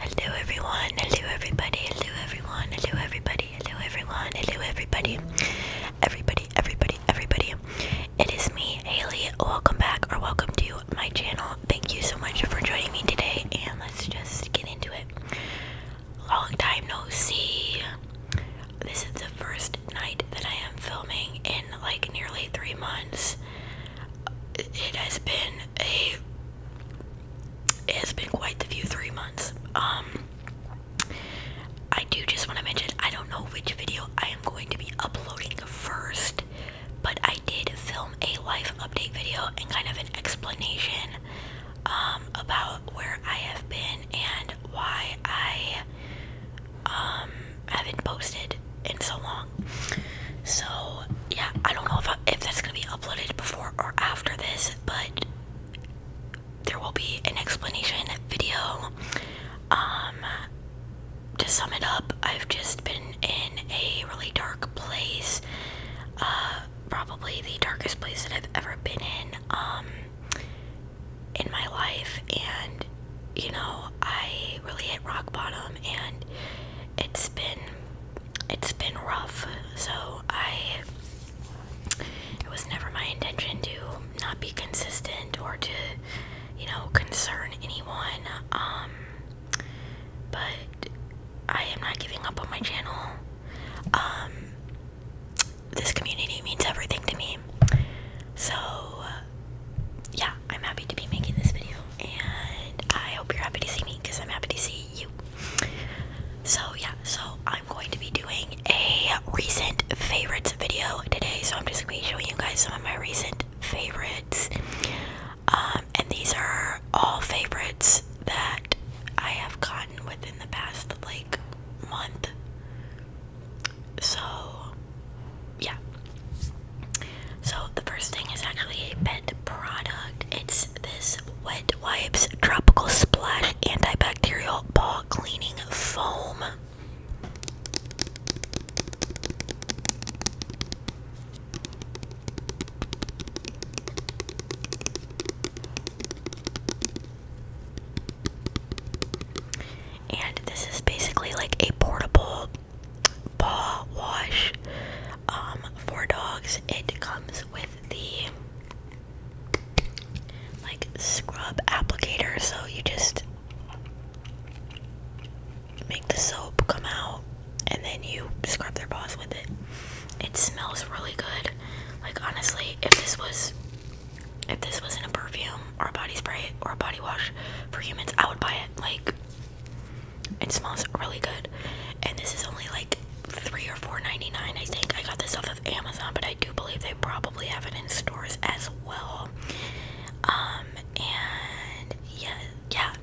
Hello everyone, hello everybody, hello everyone, hello everybody, hello everyone, hello everybody, everybody, everybody, everybody. It is me, Haley. Welcome back or welcome to my channel. Thank you so much for joining me today and let's just get into it. Long time no see. This is the first night that I am filming in like nearly three months it has been a has been quite the few three months. Um I do just want to mention I don't know which video I am going to be uploading first, but I did film a life update video and kind of an explanation um about where I have been and why I um haven't posted in so long. So yeah, I don't know if if that's gonna be uploaded before or after this, but there will be an explanation video. Um, to sum it up, I've just been in a really dark place. Uh, probably the darkest place that I've ever been in. Um, in my life, and you know, I really hit rock bottom, and it's been it's been rough, so I. It was never my intention to not be consistent or to, you know, concern anyone. Um, but I am not giving up on my channel. Um, this community means everything to me. So, yeah, I'm happy to be making this video and I hope you're happy to see me because I'm happy to see you. So, yeah, so I'm going to be doing a recent favorites video today. So, I'm just going to be showing you guys some of my recent favorites. Um, and these are all favorites that I have gotten within the past like month. So, yeah. So the first thing is actually a pet product. It's this Wet Wipes Tropical Splash Antibacterial Paw Cleaning Foam. And this is basically like a portable paw wash um, for dogs. It comes with the like scrub applicator, so you just make the soap come out and then you scrub their paws with it. It smells really good. Like honestly, if this was if this wasn't a perfume or a body spray or a body wash for humans, I would buy it. Like it smells really good. And this is only like three or four ninety nine. I think I got this off of Amazon, but I do believe they probably have it in stores as well. Um and yeah, yeah.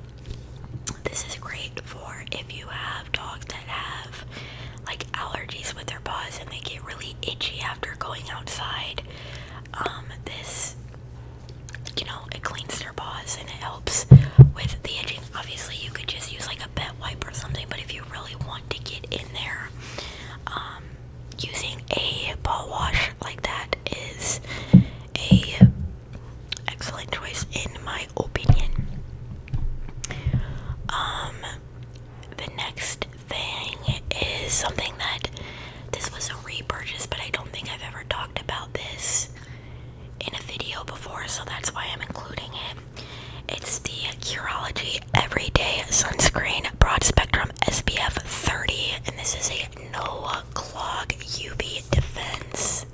This is great for if you have dogs that have like allergies with their paws and they get really itchy after going outside. Um, this you know, it cleans their paws and it helps with the itching. Obviously, you could just use like a pet wipe or something, but if you really want to get in there, um, using a paw wash like that is a excellent choice in my opinion. Um, the next thing is something that this was a repurchase, but I don't think I've ever talked about this in a video before, so that's why I'm including it. It's the Curology Everyday Sunscreen Broad Spectrum SPF 30, and this is a no clog UV defense.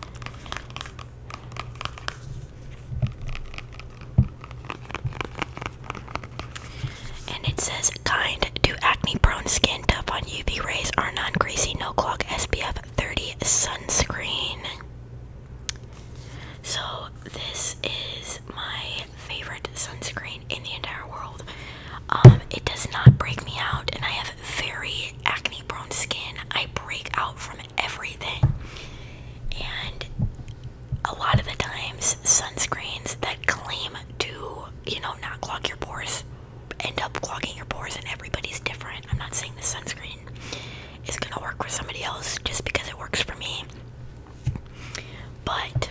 And it says kind to acne prone skin, tough on UV rays, are non greasy, no clog SPF 30 sunscreen. So, this is my favorite sunscreen in the entire world. Um, it does not break me out, and I have very acne prone skin. I break out from everything. And a lot of the times, sunscreens that claim to, you know, not clog your pores end up clogging your pores, and everybody's different. I'm not saying this sunscreen is gonna work for somebody else just because it works for me. But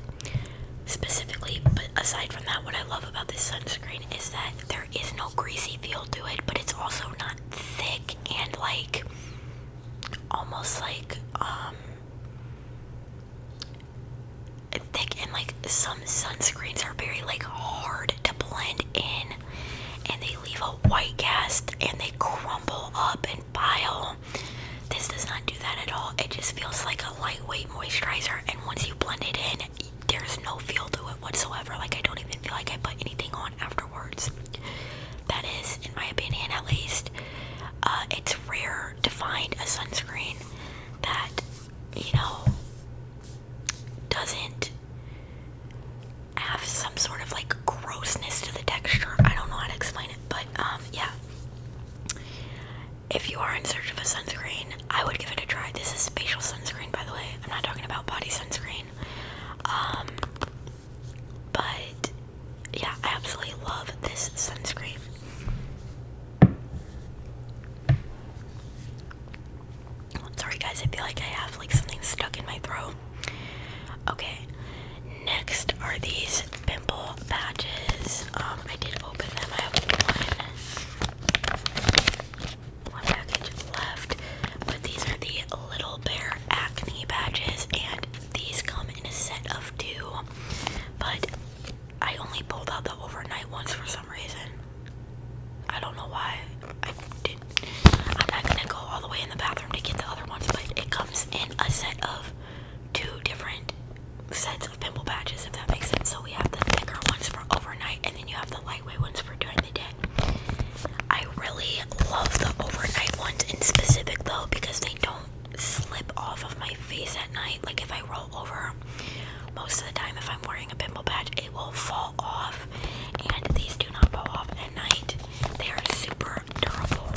specifically, but aside from that, what I love about this sunscreen is that there is no greasy feel to it, but it's also not thick and like almost like um thick and like some sunscreens are very like hard to blend in and they leave a white cast and they crumble up and pile. This does not do that at all. It just feels like a lightweight moisturizer and once you blend it in, there's no feel to it whatsoever. Like I don't even feel like I put anything on afterwards. That is, in my opinion at least, uh, it's rare to find a sunscreen that you know, doesn't have some sort of like grossness to the texture. I don't know how to explain it, but um, yeah. If you are in search of a sunscreen, I would give it a try. This is facial sunscreen, by the way. I'm not talking about body sunscreen. Um, but yeah, I absolutely love this sunscreen. Sorry guys, I feel like I have like something stuck in my throat. Okay. Next are these pimple patches. Um, I did open them. I have one, one package left. But these are the Little Bear acne patches, and these come in a set of two. But I only pulled out the overnight ones for some reason. I don't know why I did. I'm not gonna go all the way in the bathroom to get the other ones, but it comes in a set of two different sets of pimple patches, if that makes sense. So we have the thicker ones for overnight, and then you have the lightweight ones for during the day. I really love the overnight ones in specific though because they don't slip off of my face at night. Like if I roll over. Most of the time, if I'm wearing a pimple patch, it will fall off, and these do not fall off at night. They are super durable.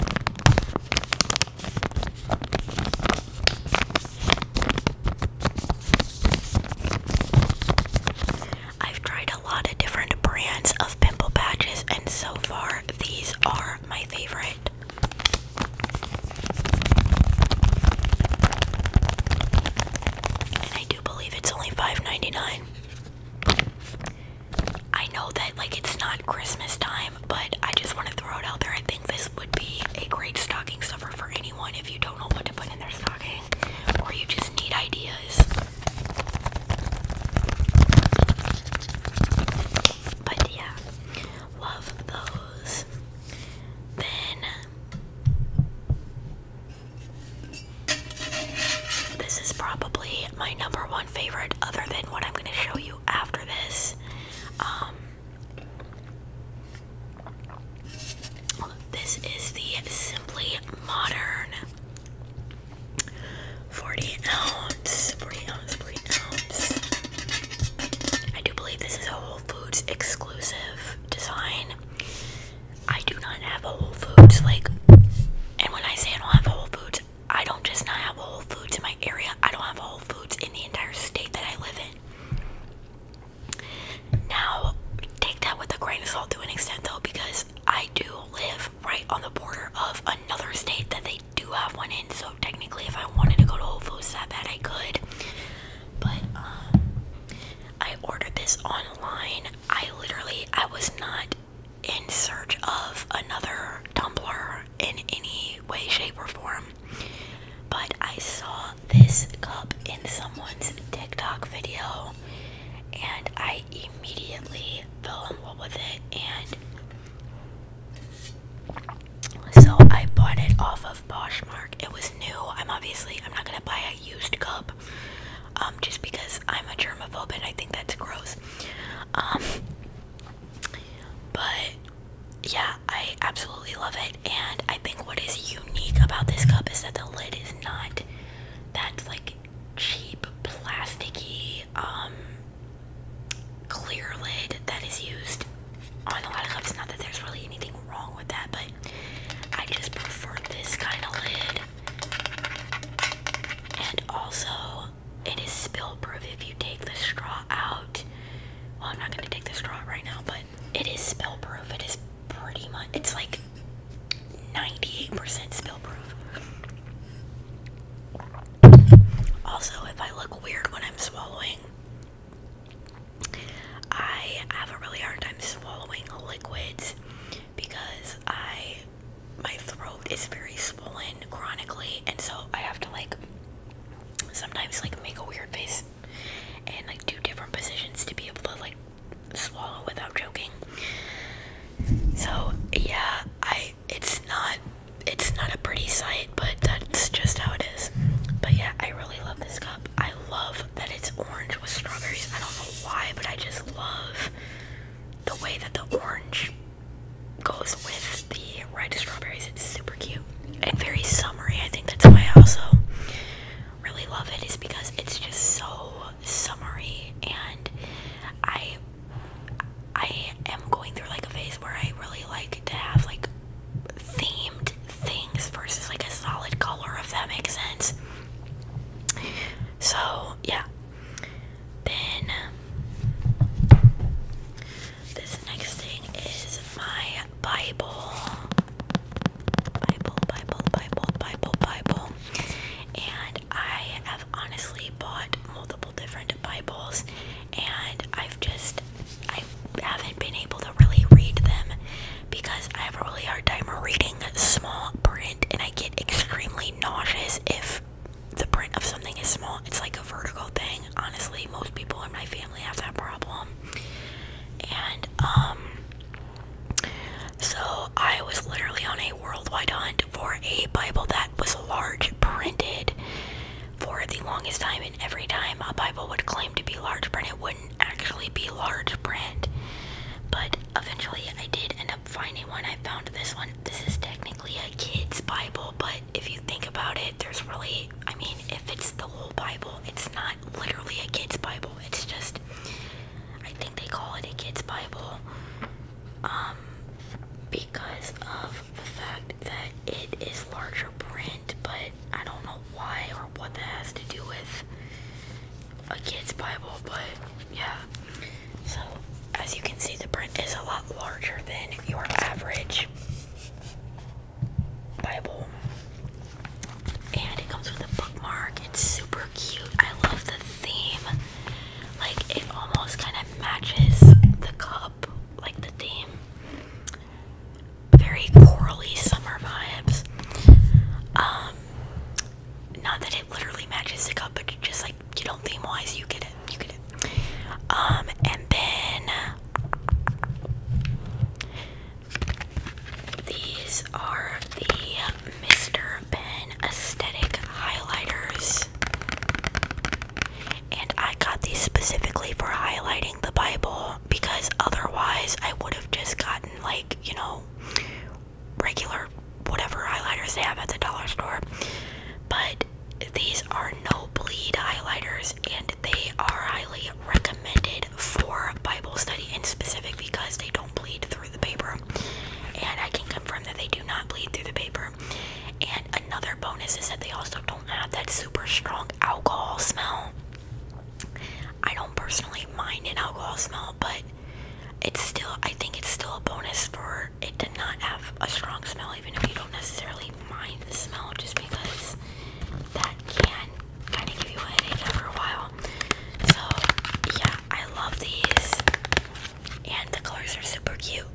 I've tried a lot of different brands of pimple patches, and so far, these are my favorite. I do believe it's only $5.99. I know that like it's not Christmas time, but I just want to throw it out there. I think this would be a great stocking stuffer for anyone if you don't know what to put in their stocking or you just need ideas. But yeah, love those. Then this is probably my number one favorite, other than what I'm going to show you after this. Um, this is the Simply Modern 40 ounce, 40 ounce, I do believe this is Whole Foods exclusive design. I do not have Whole Foods, like, and when I say I don't have Whole Foods, I don't just not have Whole Foods in my area, I don't have Whole Foods in the entire state that I live in. Now, take that with a grain of salt to an extent though, because I do live right on the border of another state that they do have one in, so technically, if I wanted to go to Whole Foods that bad, I could. But, um, I ordered this online. I literally I was not in search of another tumbler in any way, shape, or form. But I saw this cup in someone's TikTok video and I immediately fell in love with it and so I bought it off of Poshmark. It was new. I'm obviously I'm not gonna buy it used cup um, just because I'm a germaphobe and I think that's gross. Um, but yeah, I absolutely love it. And I think what is unique about this cup is that the lid is not that like cheap, plasticky, um, clear lid that is used on a lot of cups. Not that there's really anything wrong with that, but I just prefer this kind of lid. And also, it is spill proof if you take the straw out. Well, I'm not gonna take the straw right now, but it is spill proof. It is pretty much, it's like 98% spill proof. Also, if I look weird when I'm swallowing, I have a really hard time swallowing liquids because I my throat is very swollen chronically and so I have to like sometimes like make a weird face and like do different positions to be able to like swallow without choking. So yeah, I it's not it's not a pretty sight, but that's just how it is. But yeah, I really love this cup. I love that it's orange with strawberries. I don't know why, but I just love the way that the orange goes with the red strawberries. It's super cute and very summery. I think that's why I also really love it is because it's just so summery and I I am going through like a phase where I really like to have like themed things versus like a solid color, if that makes sense. So, yeah. Then this next thing is my Bible. Bible, Bible, Bible, Bible, Bible. And I have honestly bought multiple different Bibles and I've just I haven't been able to really read them because I have a really hard time reading small print and I get extremely nauseous if the print of something is small. It's like a vertical thing. Honestly, most people in my family have that problem. And, um, so I was literally on a worldwide hunt for a Bible that was large printed for the longest time. And every time a Bible would claim to be large print, it would not actually be large print, but eventually I did end up finding one. I found this one. This is technically a kid's Bible, but if you think about it, there's really, I mean, if it's the whole Bible, it's not literally a kid's Bible. It's just, I think they call it a kid's Bible um, because of the fact that it is larger print, but I don't know why or what that has to do with a kid's Bible, but yeah. So, as you can see, the print is a lot larger than your average Bible. And it comes with a bookmark. It's super cute. I love the theme. Like, it almost kind of matches the cup, like the theme very corally summer vibes. Um, not that it literally matches the cup, but just like you know, theme wise, you get it, you get it. Um, and then these are the Mr. Ben aesthetic highlighters, and I got these specifically for highlighting the Bible because otherwise I would have just gotten, like, you know, regular whatever highlighters they have at the dollar store. But these are no bleed highlighters and they are highly recommended for Bible study in specific because they don't bleed through the paper. And I can confirm that they do not bleed through the paper. And another bonus is that they also don't have that super strong alcohol smell. I don't personally mind an alcohol smell, but it's still, I think it's still a bonus for it to not have a strong smell, even if you don't necessarily mind the smell, just because that can kind of give you a headache for a while. So, yeah, I love these, and the colors are super cute.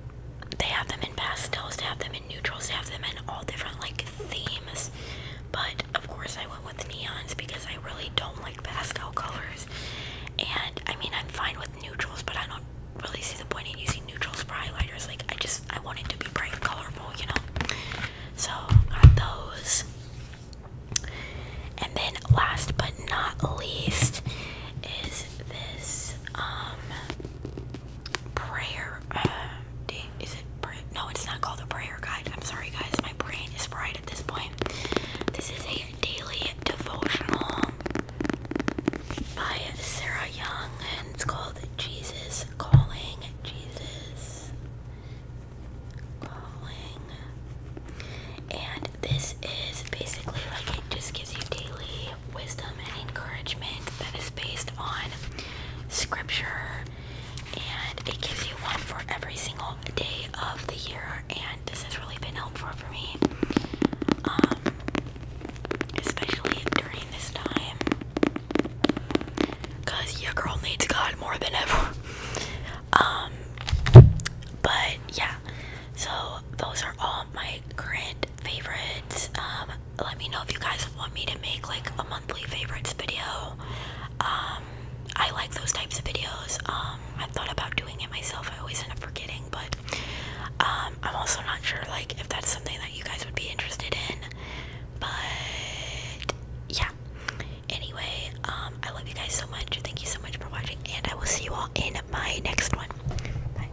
They have them in pastels, they have them in neutrals, they have them in all different like themes, but of course, I went with neons because I really don't like pastel colors. And I mean, I'm fine with neutrals, but I don't really see the point in using neutrals bright highlighters. Like, I just I wanted to be bright and colorful, you know. So got those. And then last but not least is this um prayer um, is it prayer? No, it's not called a prayer guide. I'm sorry, guys. My brain is fried at this point. This is a daily devotional by Sarah Young, and it's called Jesus Calling. Jesus Calling. And this is basically like it just gives you daily wisdom and encouragement that is based on scripture and it gives you one for every single day of the year and this has really been helpful for me um, especially during this time because your girl needs God more than ever um but yeah so those are all my current favorites um let me know if you guys want me to make like a monthly favorites video um, I like those types of videos. Um, i thought about doing it myself. I always end up forgetting, but um, I'm also not sure like if that's something that you guys would be interested in. But yeah. Anyway, I love you guys so much. Thank you so much for watching, and I will see you all in my next one. Bye.